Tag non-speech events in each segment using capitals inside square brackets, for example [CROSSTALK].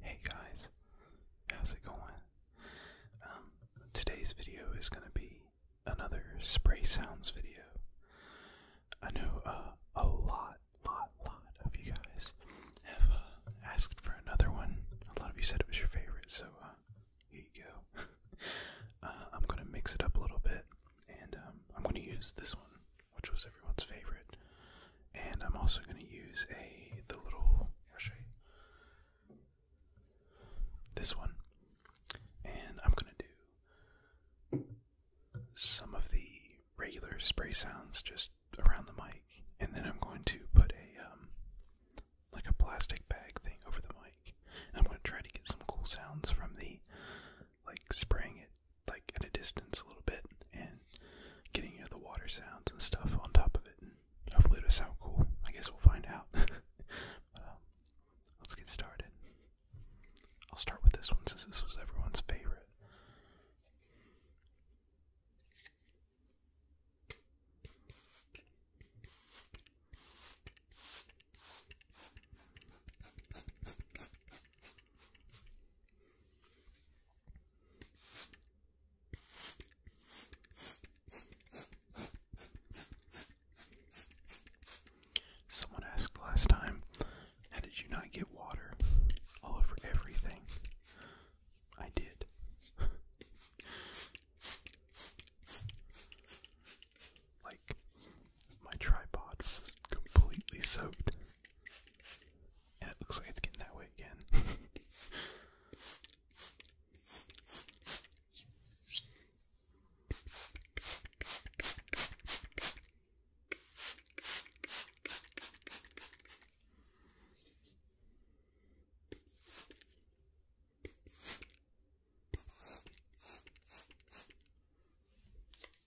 Hey guys, how's it going? Um, today's video is gonna be another spray sounds video. I know uh, a lot, lot, lot of you guys have uh, asked for another one. A lot of you said it was your favorite, so uh, here you go. [LAUGHS] I'm gonna mix it up a little bit, and um, I'm gonna use this one which was everyone's favorite. And I'm also going to use a the little crochet, this one, and I'm going to do some of the regular spray sounds just around the mic, and then I'm going to put a um like a plastic bag thing over the mic. I'm going to try to get some cool sounds from the like spraying it like at a distance a little bit and getting you know, the water sounds and stuff on top of it. hopefully it'll sound cool. I guess we'll find out. [LAUGHS] Um, let's get started. I'll start with this one since this was everyone's favorite. Someone asked last time, how did you not get water all over everything? I did. [LAUGHS] like, my tripod was completely soaked. And it looks like it's getting that way again.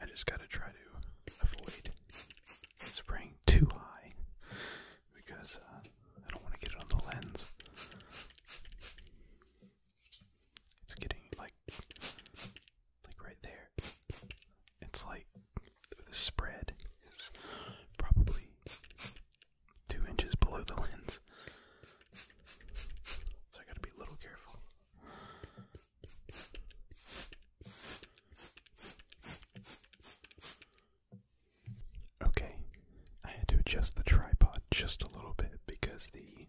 I just gotta try to avoid spraying too high because uh, I don't want to get it on the lens. It's getting like, like right there. It's like the spread is probably two inches below the lens. So I gotta be a little careful. Okay, I had to adjust the tripod just a little bit because the,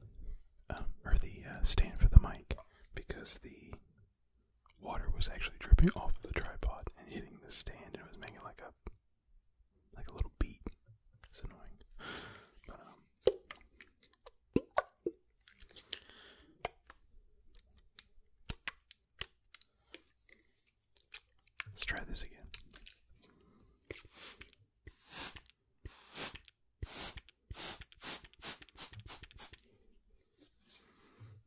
um, or the uh, stand for the mic, because the Water was actually dripping [LAUGHS] off the tripod and hitting the stand, and it was making like a like a little beat. It's annoying. Um, let's try this again.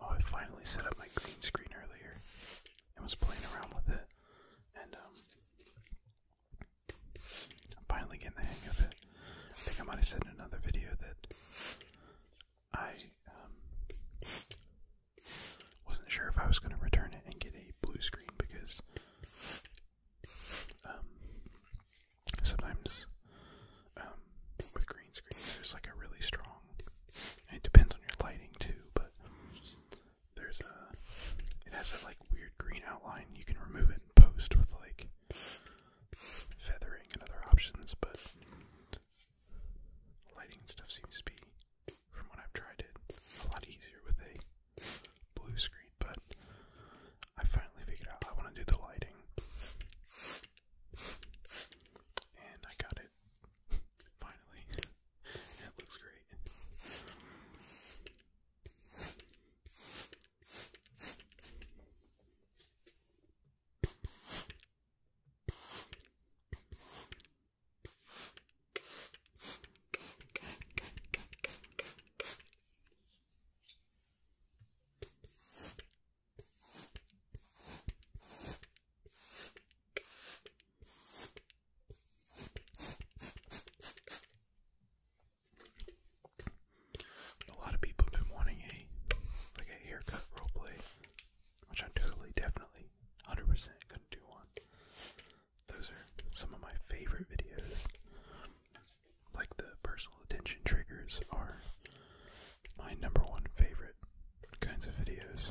Oh, I finally set up my green screen earlier and was playing around with it, and um, I'm finally getting the hang of it. I think I might have said in another video that I um, wasn't sure if I was going to return it and get a blue screen because um, sometimes um, with green screens. There's like a really strong. It depends on your lighting too, but there's a. It has a like weird green outline. You can remove it in post with like feathering and other options, but lighting and stuff seems to be, from what I've tried, it a lot easier with a blue screen. But I finally figured out I want to do the lighting, and I got it it. Finally. it looks great. A lot of people have been wanting a like a haircut roleplay, which I'm totally, definitely, 100% gonna do one. Those are some of my favorite videos. Like the personal attention triggers are my number one favorite kinds of videos.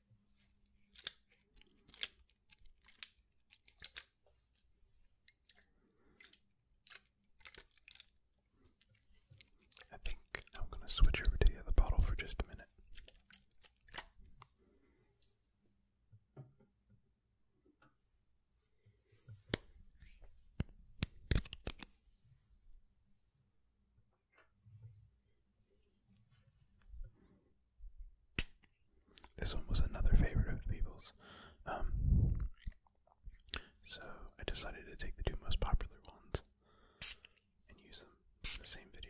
I think I'm going to switch over to the other bottle for just a minute. This one was another favorite of people's. Um, so I decided to take the two most popular ones and use them in the same video.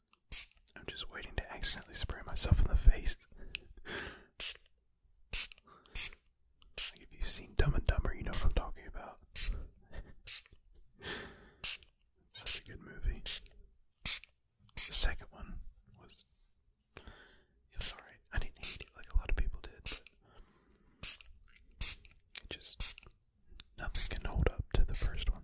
I'm just waiting to accidentally spray myself in the face. if you've seen Dumb and Dumber, you know what I'm talking about. Such a good movie. The second one was it was alright. I didn't hate it like a lot of people did, it just nothing can hold up to the first one.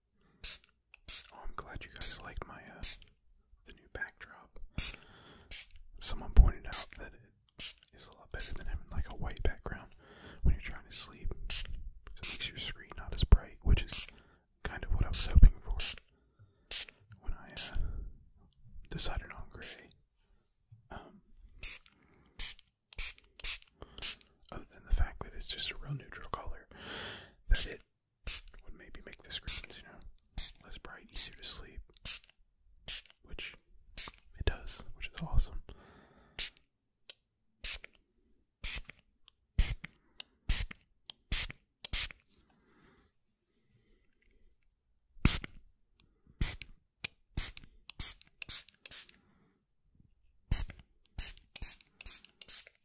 Oh, I'm glad you guys liked my uh, the new backdrop. Someone pointed out that it is a lot better than having like a white background when you're trying to sleep. It makes your screen not as bright, which is kind of what I was hoping for when I uh, decided on gray. Um, other than the fact that it's just a real neutral color, that it it would maybe make the screens, you know, less bright, easier to sleep. Which it does, which is awesome.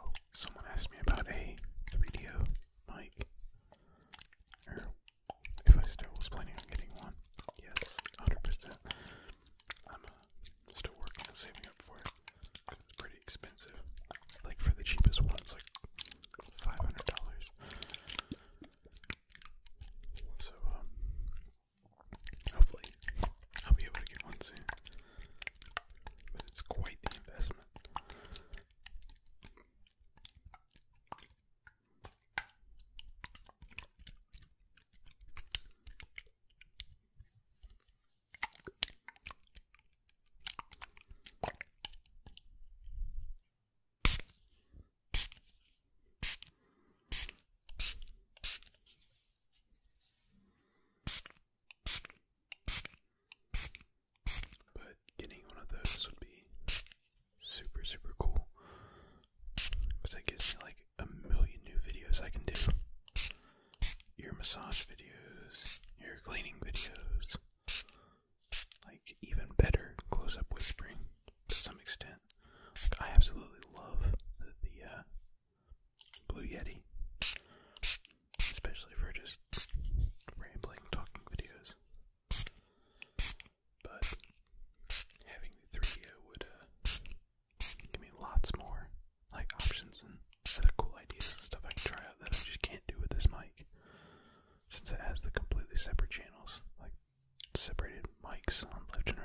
Oh, someone asked me about a 3DO mic. if I still was planning on getting one. Yes, 100%. I'm uh, still working and saving up for it. It's pretty expensive. Like for the cheapest ones, like $500. So, um, hopefully, I'll be able to get one soon. But it's quite the investment. But getting one of those would be super, super cool. Because that gives me like a million new videos I can do your massage videos, your cleaning videos. Like, even better close up whispering to some extent. I absolutely love the, uh, Blue Yeti, especially for just rambling, talking videos. But having the 3DO would uh, give me lots more like options and other cool ideas and stuff I can try out that I just can't do with this mic, since it has the completely separate channels separated mics on left and right.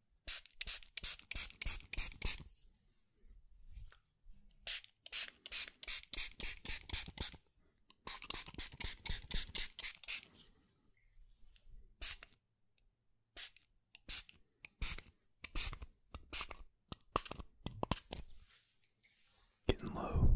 Getting low.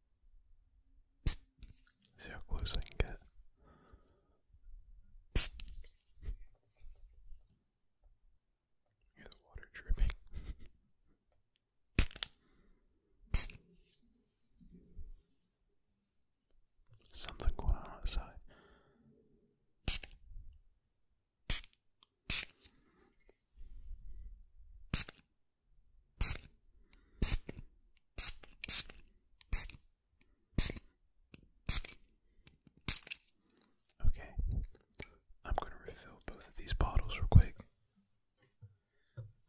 See how close I can get. Hear the water dripping. Something going on outside. Okay, I'm going to refill both of these bottles real quick,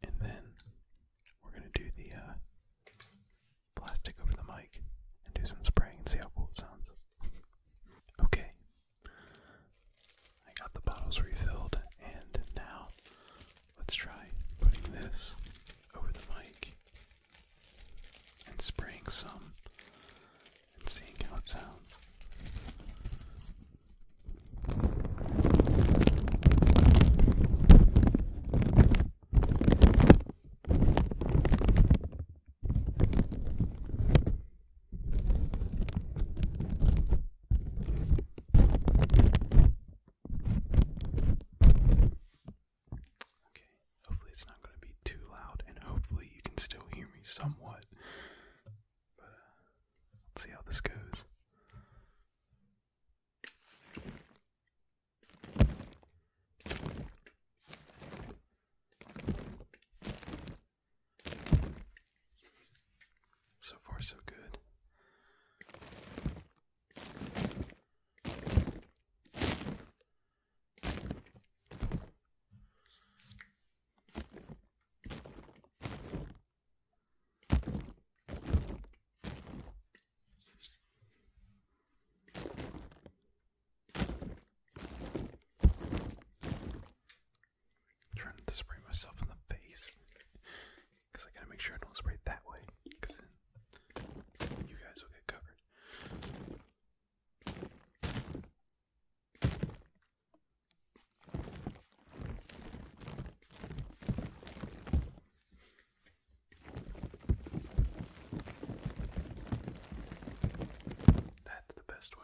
and then we're going to do the uh, plastic over the mic and do some spraying and see how cool it sounds. Okay, I got the bottles refilled, and now let's try putting this over the mic and spraying some and seeing how it sounds. Okay, hopefully it's not going to be too loud, and hopefully you can still hear me somewhat. Uh, let's see how this goes. So far, so good. I'm trying to spray myself in the face. Because I gotta make sure I don't spray that way. Because then you guys will get covered. That's the best way.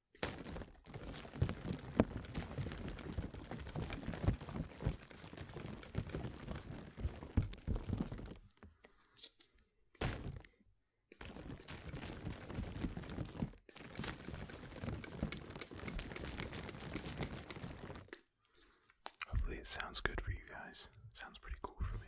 Hopefully, it sounds good for you guys. It sounds pretty cool for me.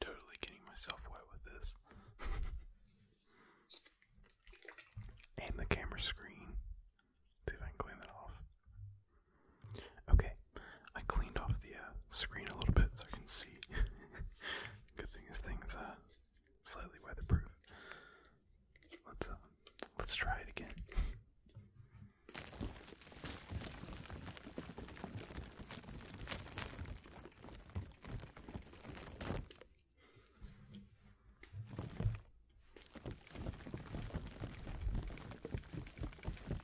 Totally getting myself wet with this. [LAUGHS] and the camera screen. See if I can clean that off. Okay, I cleaned off the uh, screen a little bit so I can see. [LAUGHS] Good thing this thing's uh, slightly weatherproof. Let's um, let's try it again.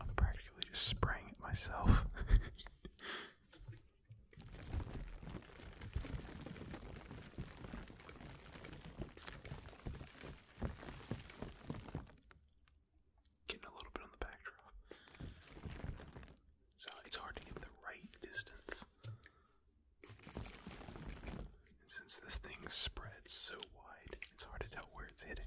I'm practically just spraying it myself. [LAUGHS] Getting a little bit on the backdrop. So it's hard to get the right distance and since this thing spreads so wide, it's hard to tell where it's hitting.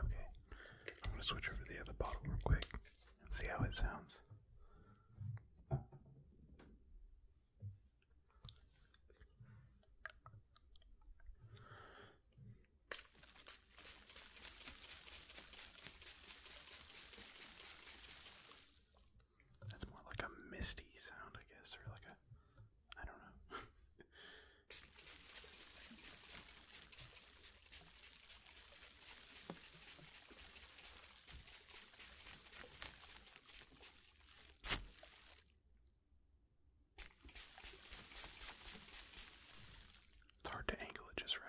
Okay, I'm going to switch over to the other bottle real quick and see how it sounds. That's more like a misty sound, I guess, or like a. I don't know. [LAUGHS] It's hard to angle it just right.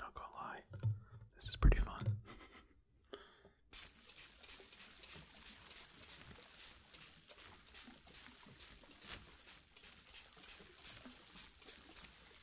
Not gonna lie, this is pretty fun.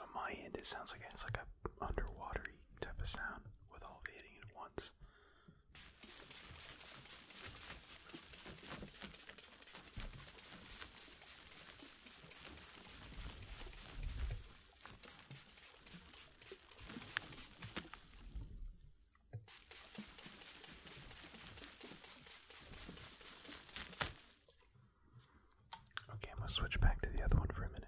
On my end, it sounds like it's like a underwatery type of sound with all the hitting at once. Okay, I'm gonna switch back to the other one for a minute.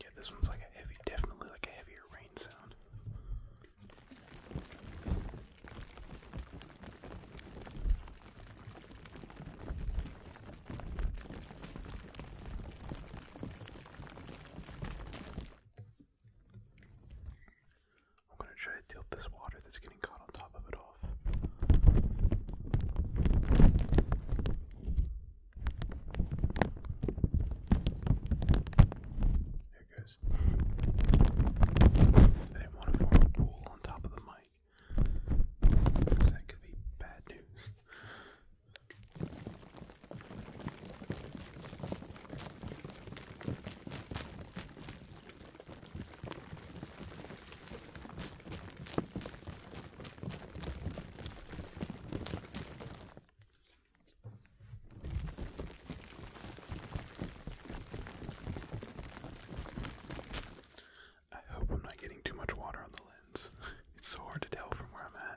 Yeah, this one's like a heavy, definitely like a heavier rain sound. I'm going to try to tilt this water that's getting caught on top of it off. There it goes. I didn't want to form a pool on top of the mic because that could be bad news. I hope I'm not getting too much water on the lens. [LAUGHS] It's so hard to tell from where I'm at.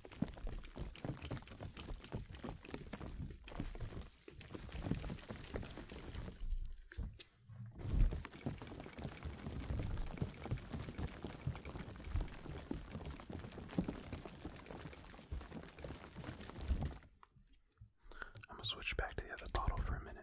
I'm gonna switch back to the other bottle for a minute.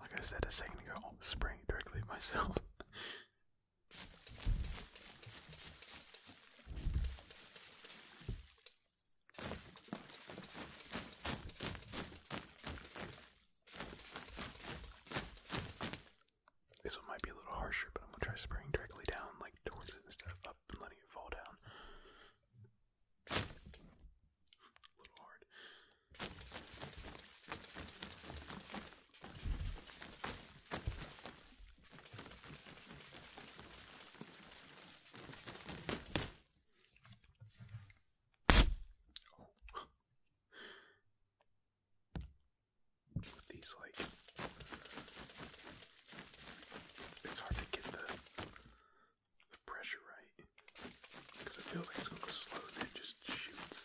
Like I said a second ago, I'm spraying it directly at myself. [LAUGHS] This one might be a little harsher, but I'm gonna try spraying directly down, like towards it, instead of up and letting it fall down. A little hard. These like it's hard to get the the pressure right because I feel like it's gonna go slow and then it just shoots.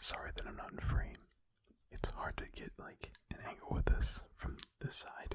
Sorry that I'm not in frame. It's hard to get like an angle with this from this side.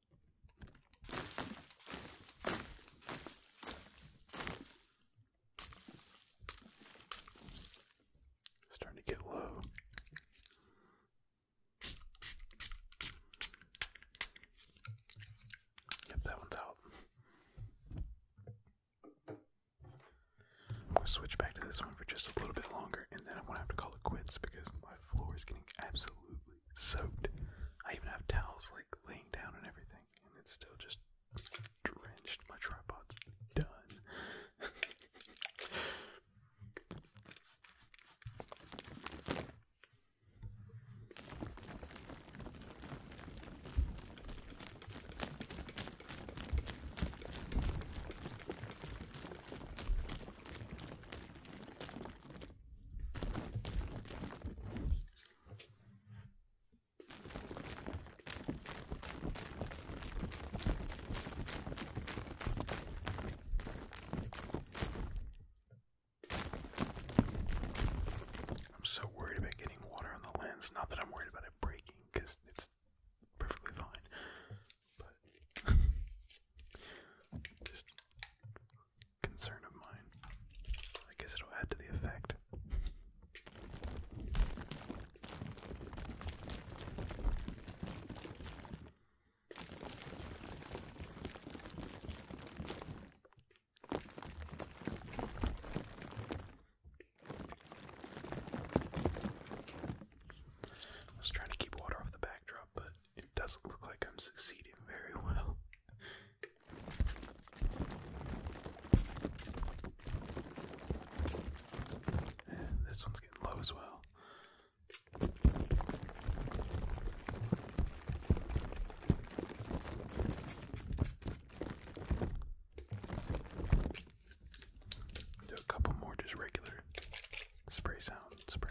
Starting to get low. Yep, that one's out. I'm gonna switch back to this one for just a little bit longer, and then I'm gonna have to call it quits because my floor is getting absolutely soaked. I even have towels like laying down and everything, and it's still just drenched. My tripod's done. I'm so worried about getting water on the lens. Not that I'm worried about it breaking, because it's perfectly fine. But [LAUGHS] concern of mine. I guess it'll add to the effect. I was trying to keep water off the backdrop, but it doesn't look like I'm succeeding very well. this one's getting low as well. Do a couple more just regular spray sound sprays.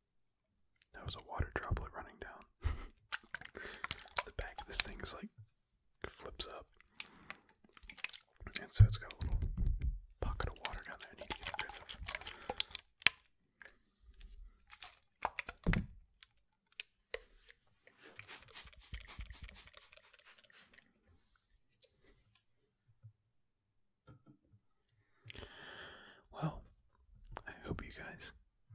That was a water droplet running down. [LAUGHS] the back of this thing's like flips up. And so it's got a little pocket of water down there need to get rid of. Well, I hope you guys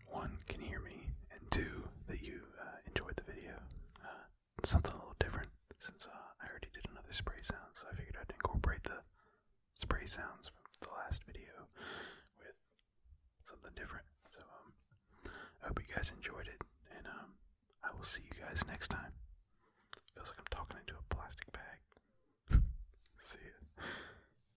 one can hear me, and two that you uh, enjoyed the video. Uh, something a little different since uh, I already did another spray sound, so I figured I'd incorporate the spray sounds from the last video with something different. So um, I hope you guys enjoyed it, and um, I will see you guys next time. Feels like I'm talking into a plastic bag. [LAUGHS] see ya.